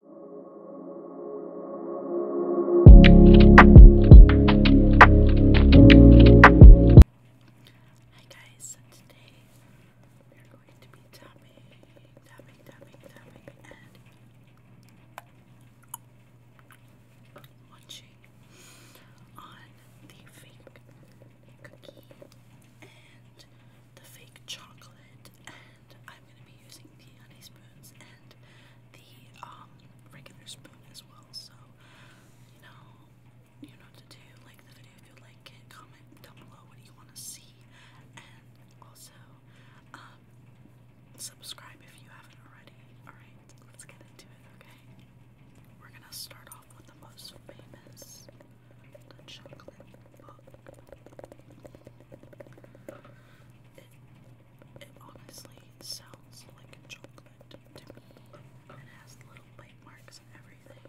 Hi guys, today we're going to be tapping, tapping, tapping, tapping, and watching on the fake cookie and the fake chocolate I'm going to be using the honey spoons and the um, regular spoon as well. So, you know, you know what to do. Like the video if you like it. Comment down below what you want to see, and also um, subscribe if you haven't already. All right, let's get into it. Okay, we're gonna start off with the most famous, chocolate book. It, it honestly sounds like chocolate It has little bite marks and everything.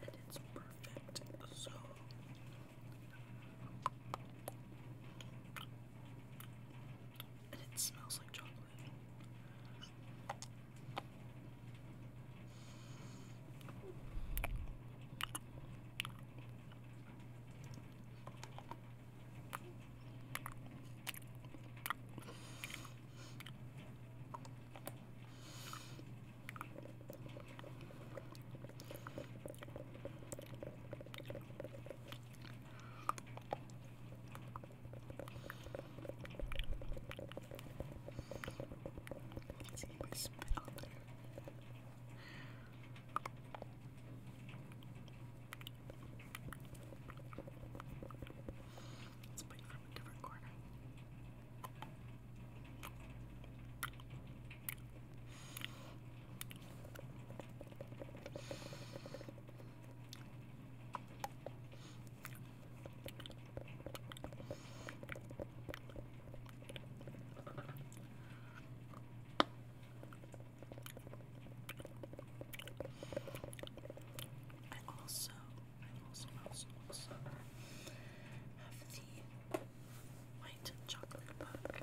And it's perfect. So and it smells like chocolate. Let's see if we spit on there. Let's put you from a different corner. I also, also, also, also have the white chocolate book.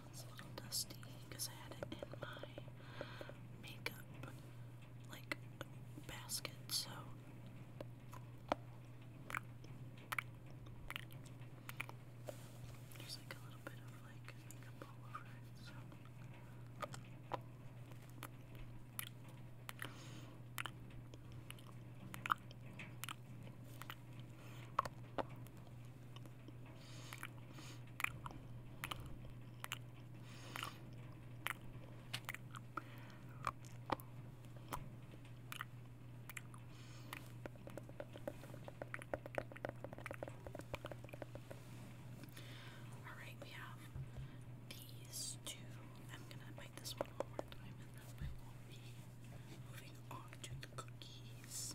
It's a little dusty because I had it in my makeup like basket, so there's like a little bit of like makeup all over it, so all right, we have these two. I'm gonna bite this one one more time, and then we will be moving on to the cookies.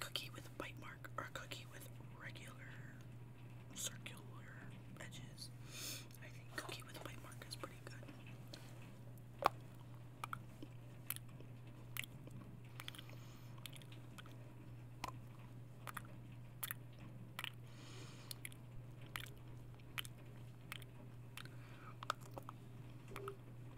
cookie with a bite mark or cookie with regular circular edges. I think cookie with a bite mark is pretty good.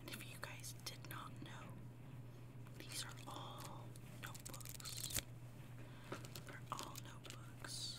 And if you guys did not know, these are all notebooks. They're all notebooks.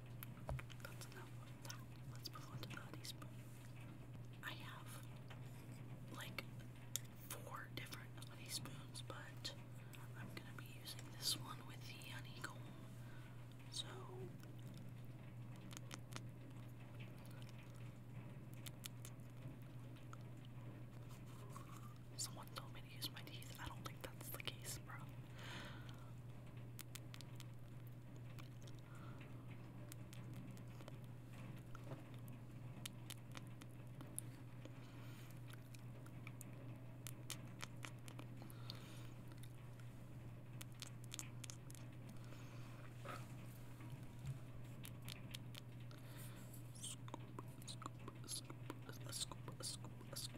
That's enough what that. Let's move on to the teaspoon. I have like four different honey spoons, but I'm gonna be using this one with the honeycomb. So Someone told me to use my teeth. I don't think that's the case, bro. Scoop, scoop, scoop, a scoop, a scoop, a scoop,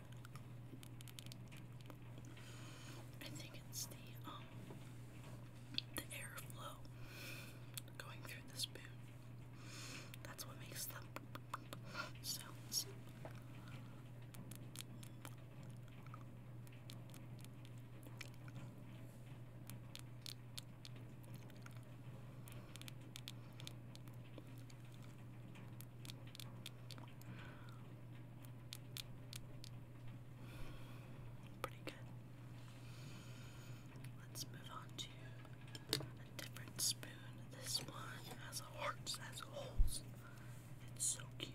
I think it's the um the airflow going through the spoon. That's what makes the sounds. Pretty good. Let's move on to a different spoon. This one has hearts as holes. It's so cute.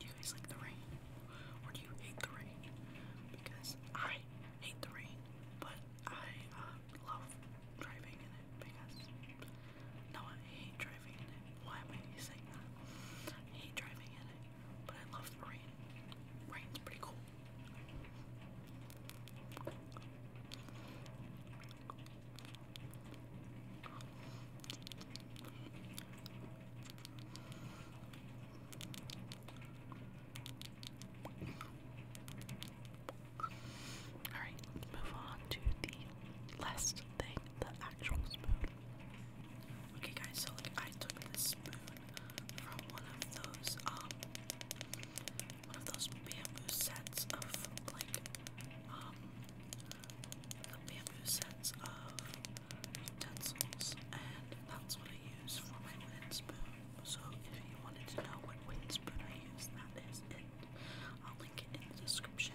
you guys like the rain? Or do you hate the rain? Because I hate the rain, but I um, love driving in it because. No, I hate driving in it. Why am I saying that? hate driving in it, but I love the rain. Rain's pretty cool. Alright, move on to the last thing, the actual spoon. Okay guys, so like I took this spoon from one of those um, one of those bamboo sets of like um the bamboo sets of utensils and that's what I use for my wooden spoon. So if you wanted to know what wooden spoon I use, that is it. I'll link it in the description.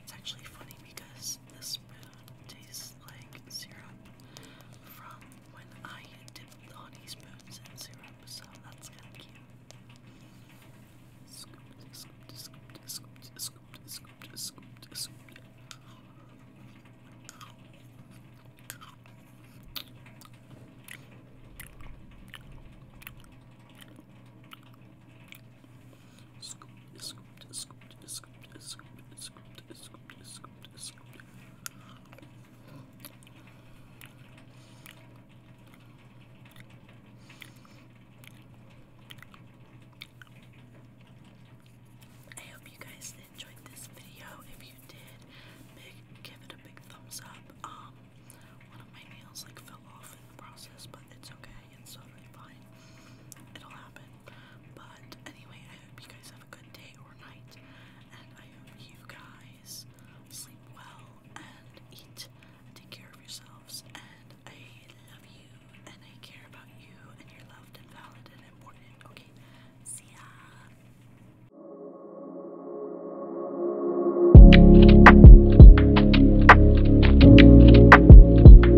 it's actually funny because this spoon tastes like syrup from when I dipped the spoons in syrup, so that's kind of cute. Scooped, I hope you guys enjoyed this video. If you did, give it a big thumbs up. Um, one of my nails like fell off in the process, but it's okay day and it's totally fine. It'll happen. But anyway, I hope you guys have a good day or night, and I hope you guys sleep well and eat. And take care of yourselves, and I love you, and I care about you, and you're loved and valid and important. Okay, see ya.